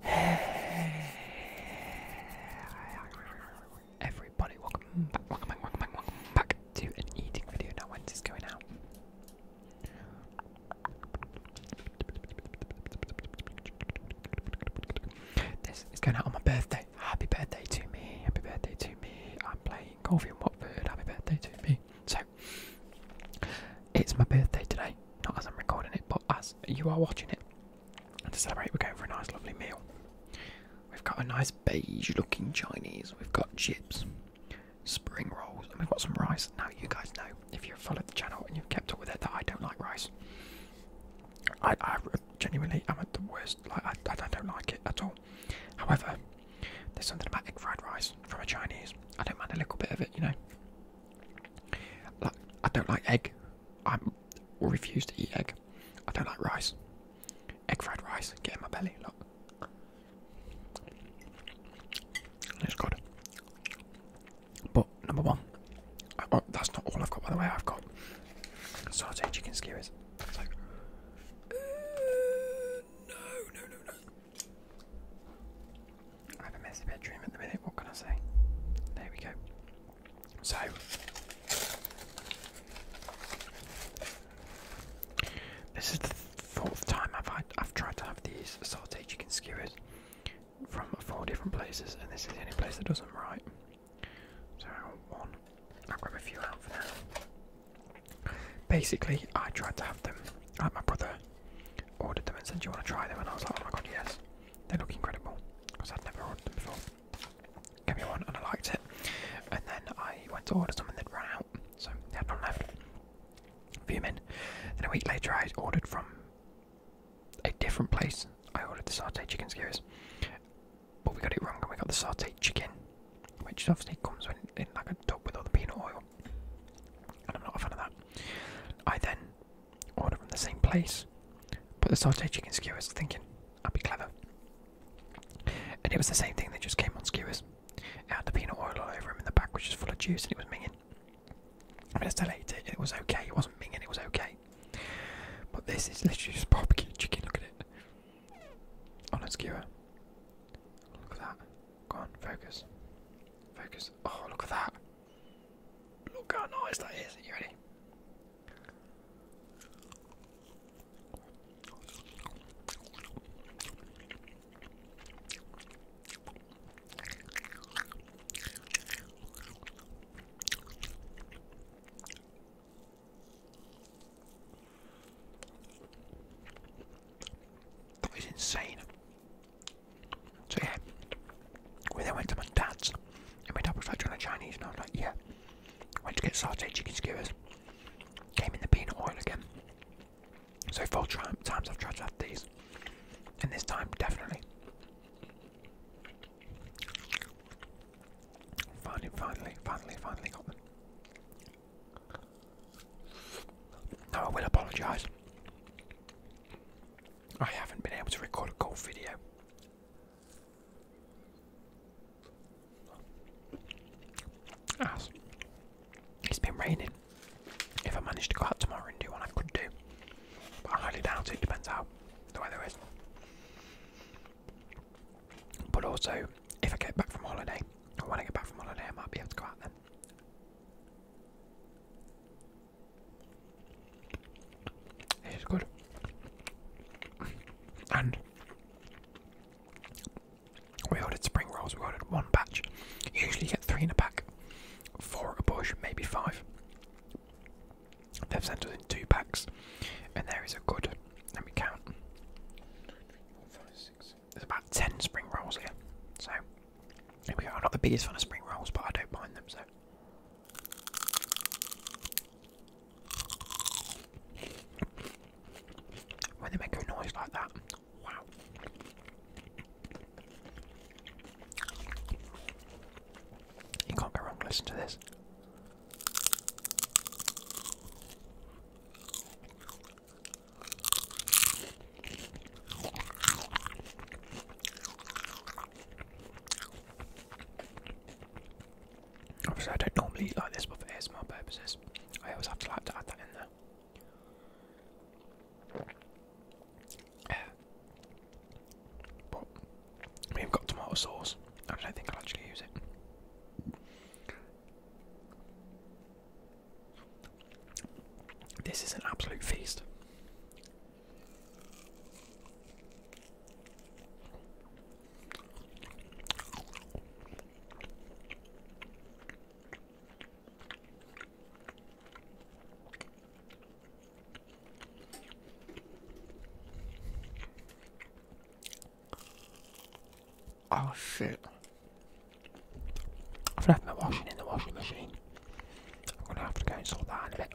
Hey everybody, welcome back, welcome back, welcome back, back to an eating video. Now when's this going out? This is going out on my birthday. Happy birthday to me, happy birthday to me. I'm playing Coffee and Watford, happy birthday to me. So it's my birthday today. Not as I'm recording it, but as you are watching it. And to celebrate, we're going for a nice, lovely meal. We've got a nice beige-looking Chinese. We've got chips, spring rolls, and we've got some rice. Now, you guys know if you've followed the channel and you've kept up with it that I don't like rice. I, I genuinely am at the worst. Like I, I don't like it at all. However, there's something about egg fried rice from a Chinese. I don't mind a little bit of it, you know. I don't like egg. I refuse to eat egg. I don't like rice. Egg fried rice, get in my belly, look. It's good. But number one, that's not all I've got by the way. I've got saute chicken skewers. It's like, uh, no, no, no, no. I have a messy bedroom at the minute, what can I say? There we go. So, this is the fourth time I've, tried to have these salted chicken skewers from four different places, and this is the only place that does not write. So, one, I'll grab a few out for now. Basically, I tried to have them, like my brother ordered them and said, Do you want to try them? And I was like, Oh my god, yes. They look incredible. Because I'd never ordered them before. Got me one and I liked it. And then I went to order some and they'd run out. So they had none left. A few men. Then a week later, I ordered from a different place. I ordered the sautéed chicken skewers. But we got it wrong and we got the sautéed chicken. Which obviously comes in, in like a tub with all the peanut oil. And I'm not a fan of that. I then order from the same place, put the sauteed chicken skewers, thinking I'd be clever. And it was the same thing, that just came on skewers. It had the peanut oil all over them in the back, which was full of juice, and it was minging. I still ate it, it was okay, it wasn't minging, it was okay. But this is literally just barbecue chicken, look at it. On a skewer. Look at that. Go on, focus. Focus. Oh, look at that. Look how nice that is. you ready? That was insane. So yeah, we then went to my dad's, and my dad was like, "Do you a Chinese?" And I was like, "Yeah." Went to get sauteed chicken skewers. Came in the peanut oil again. So four times I've tried to have these, and this time definitely. Finally, finally, finally, finally got them. Now I will apologise. I haven't been able to record a golf video. As it's been raining. If I manage to go out tomorrow and do what I could do. But I highly doubt it, depends how the weather is. But also, if I get back from holiday, or when I get back from holiday, I might be able to go out then. It's good. And we ordered spring rolls, we ordered one batch. You usually get three in a pack, four a bush, maybe five. They've sent us in two packs, and there is a good. Let me count there's about 10 spring rolls here. So, here we go. I'm not the biggest fan of spring rolls, but I don't mind them, so. When they make a noise like that, wow. You can't go wrong, listen to this. Obviously, I don't normally eat like this, but for ASMR purposes, I always have to like to add that in there. Uh, but we've got tomato sauce, I don't think I'll actually use it. This is an absolute feast. Oh shit. I've left my washing in the washing machine. I'm gonna have to go and sort that out in a bit.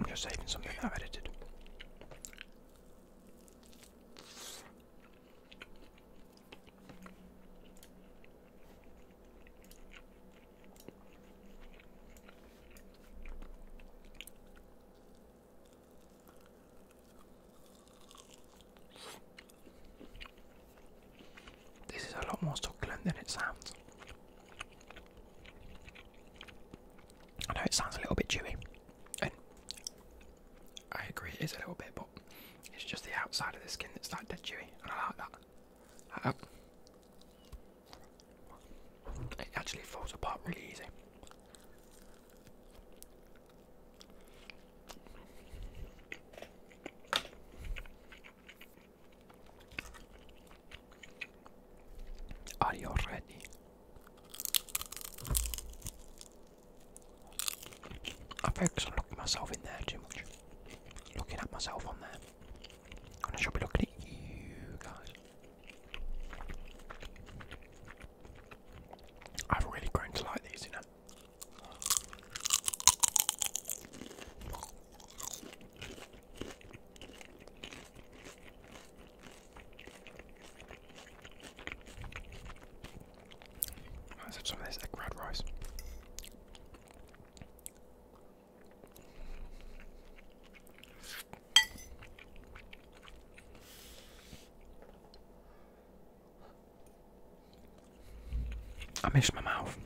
I'm just saving something I've edited. This is a lot more succulent than it sounds. I know it sounds a little bit chewy, and I agree it is a little bit, but it's just the outside of the skin that's like dead chewy, and I like that. It actually falls apart really easy. Are you ready? I focus on looking myself in there too much. Looking at myself on there. And I should be looking at you guys. I've really grown to like these, you know. Let's some of this egg red rice. I miss my mouth.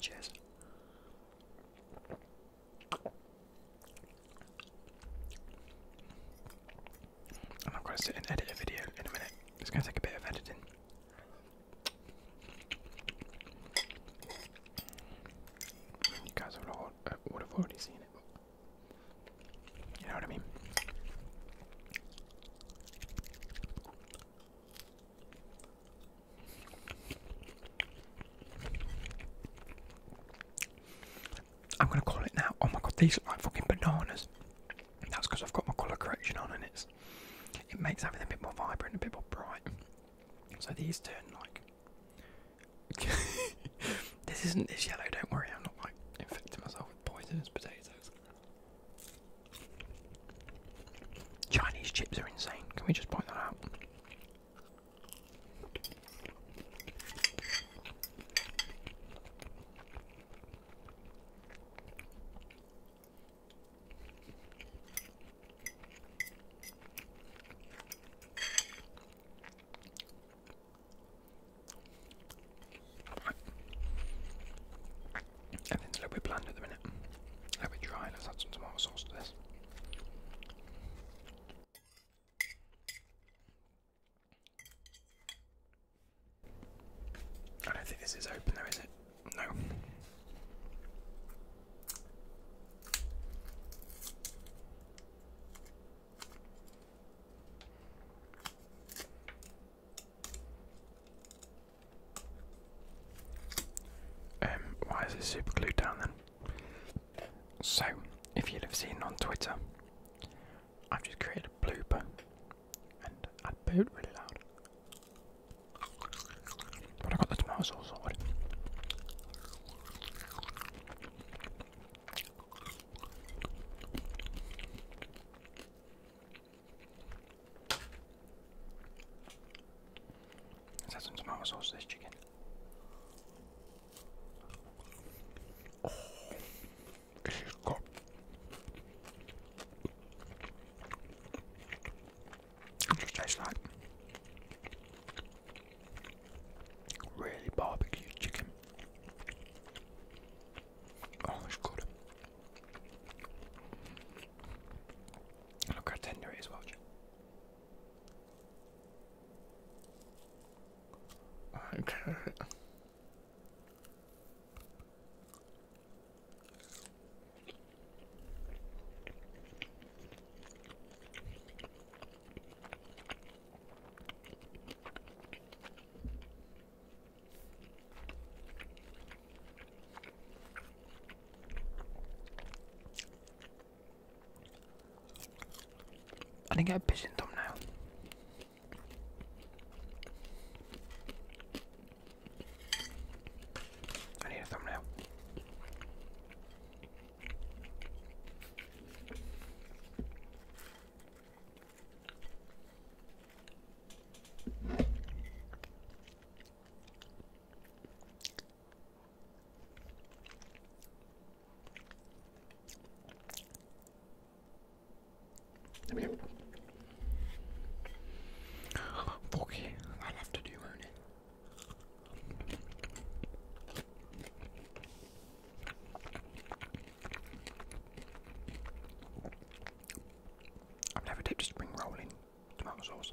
Cheers. I'm going to sit and edit a video in a minute. It's going to take a bit of editing. You guys would have, uh, would have already seen it, you know what I mean. I'm gonna call it now. Oh my god, these are like fucking bananas. That's because I've got my colour correction on and it's it makes everything a bit more vibrant, a bit more bright. So these turn like. this isn't this yellow. Don't worry, I'm not like infecting myself with poisonous potatoes. Chinese chips are insane. Can we just point that out? Everything's a little bit bland at the minute. A little bit Let's add some tomato sauce to this. I don't think this is open though, is it? No. Um, why is it super glued down then? So, if you would have seen on Twitter, I've just created a blooper and I'd it really loud. But I got the tomato sauce sorted. Let's some tomato sauce to this chicken she's it just tastes like really barbecue chicken. Oh, it's good. Look how tender it is, watch. Okay. I think I have pigeon thumb now. I need a thumbnail. I mean, okay, i have to do earn it. I've never dipped a spring roll in tomato sauce.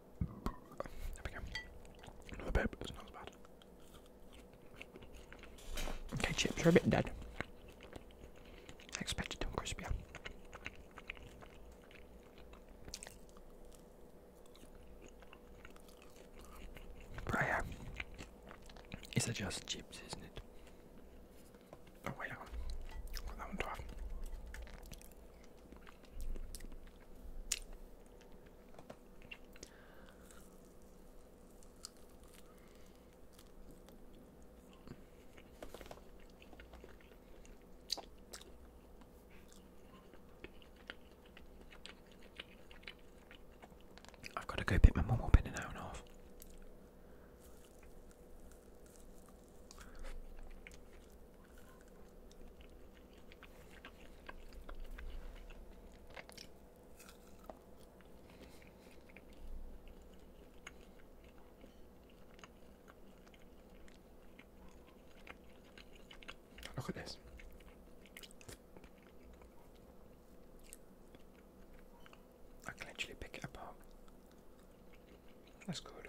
There we go. Another bit, it's not as bad. Okay, chips are a bit dead. expected them crispier. Prayer is just chips, isn't it? Oh wait, I that one to I've got to go pick my mum up in an hour and a half. Look at this. I can actually pick it apart. That's good.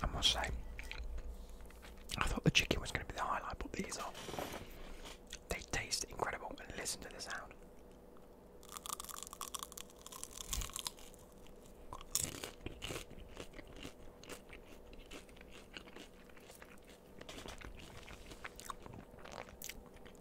I must say, I thought the chicken was going to be the highlight, but these are. They taste incredible, and listen to the sound.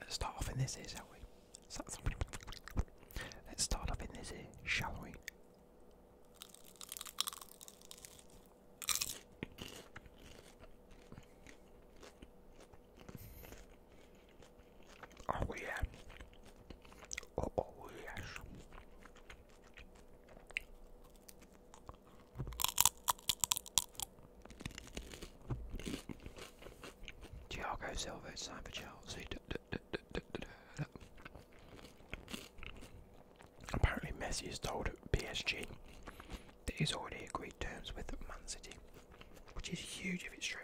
Let's start off in this here, shall we? Let's start off in this here, shall we? Oh yeah. Oh, oh yes. Thiago Silva, it's for Chelsea. Apparently, Messi has told PSG that he's already agreed terms with Man City, which is huge if it's true.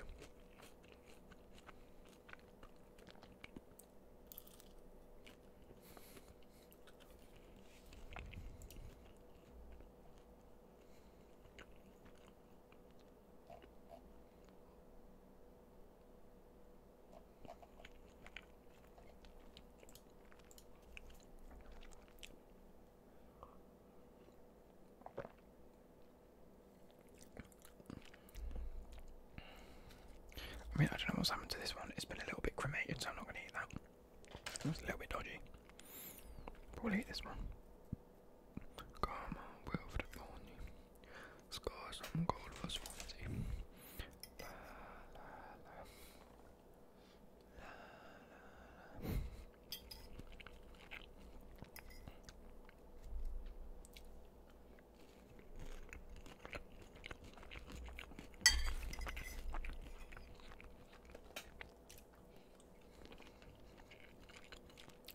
I mean, I don't know what's happened to this one. It's been a little bit cremated, so I'm not going to eat that. It was a little bit dodgy. Probably hit this one. Karma, will for the thorny. Scars on gold for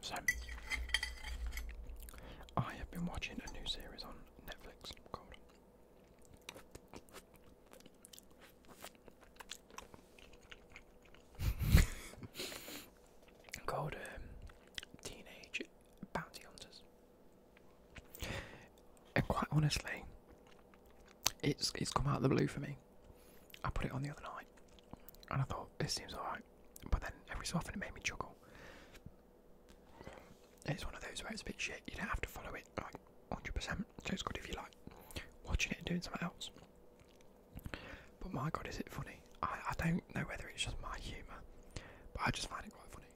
so, I have been watching a new series on Netflix called called um, Teenage Bounty Hunters. And quite honestly, it's it's come out of the blue for me. I put it on the other night, and I thought this seems alright, but then every so often it made me chuckle. It's one of those where it's a bit shit. You don't have to follow it like 100%, so it's good if you like watching it and doing something else. But my god, is it funny? I I don't know whether it's just my humour, but I just find it quite funny.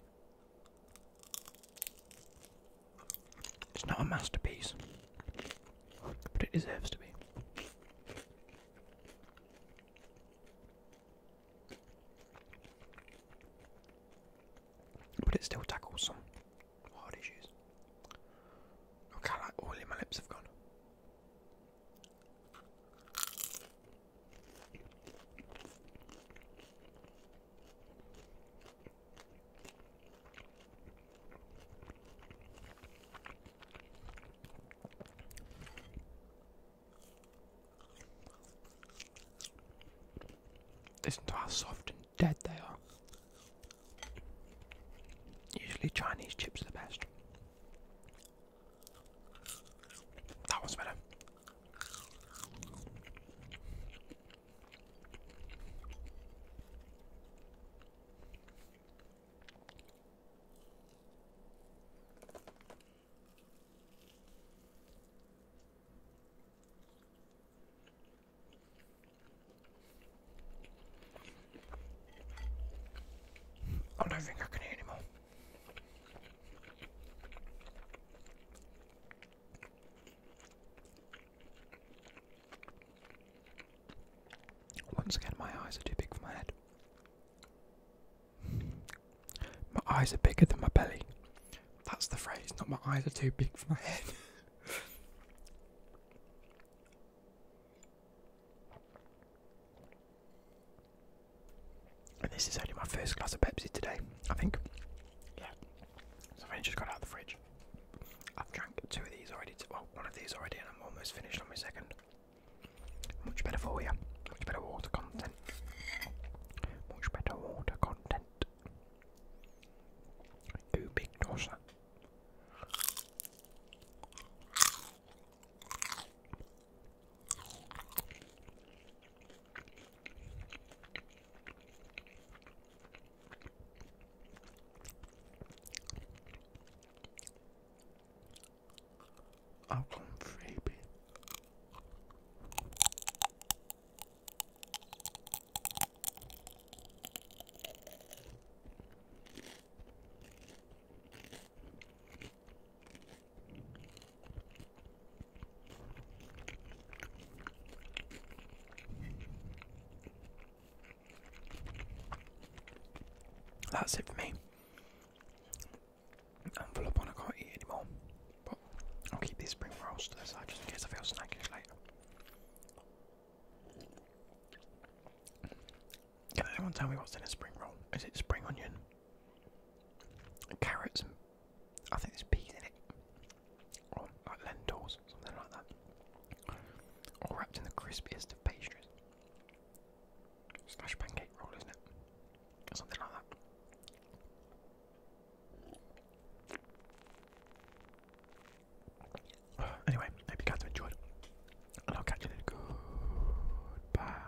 It's not a masterpiece, but it deserves to be. But it still tackles hard issues. Look how like my lips have gone. Listen to how soft and dead they are. Usually Chinese chips are the best. That one's better. I don't think I can eat anymore. Once again, my eyes are too big for my head. My eyes are bigger than my belly. That's the phrase, not my eyes are too big for my head. and this is only my first glass of Pepsi today, I think yeah. So I've just got out the fridge. I've drank two of these already. Well, of these already, and I'm almost finished on my second. Much better for you. Much better water content. Much better water content. Ooh, big dosa. I'll come freebie. That's it for me. Envelope on, I can't eat anymore. But I'll keep these spring rolls to the just in case I feel snackish later. Can anyone tell me what's in a spring roll? Is it spring onion, carrots, I think there's peas in it, like lentils, something like that, all wrapped in the crispiest of pastries. Slash pancake roll, isn't it? something like that. Anyway, hope you guys enjoyed, and I'll catch you later. Goodbye.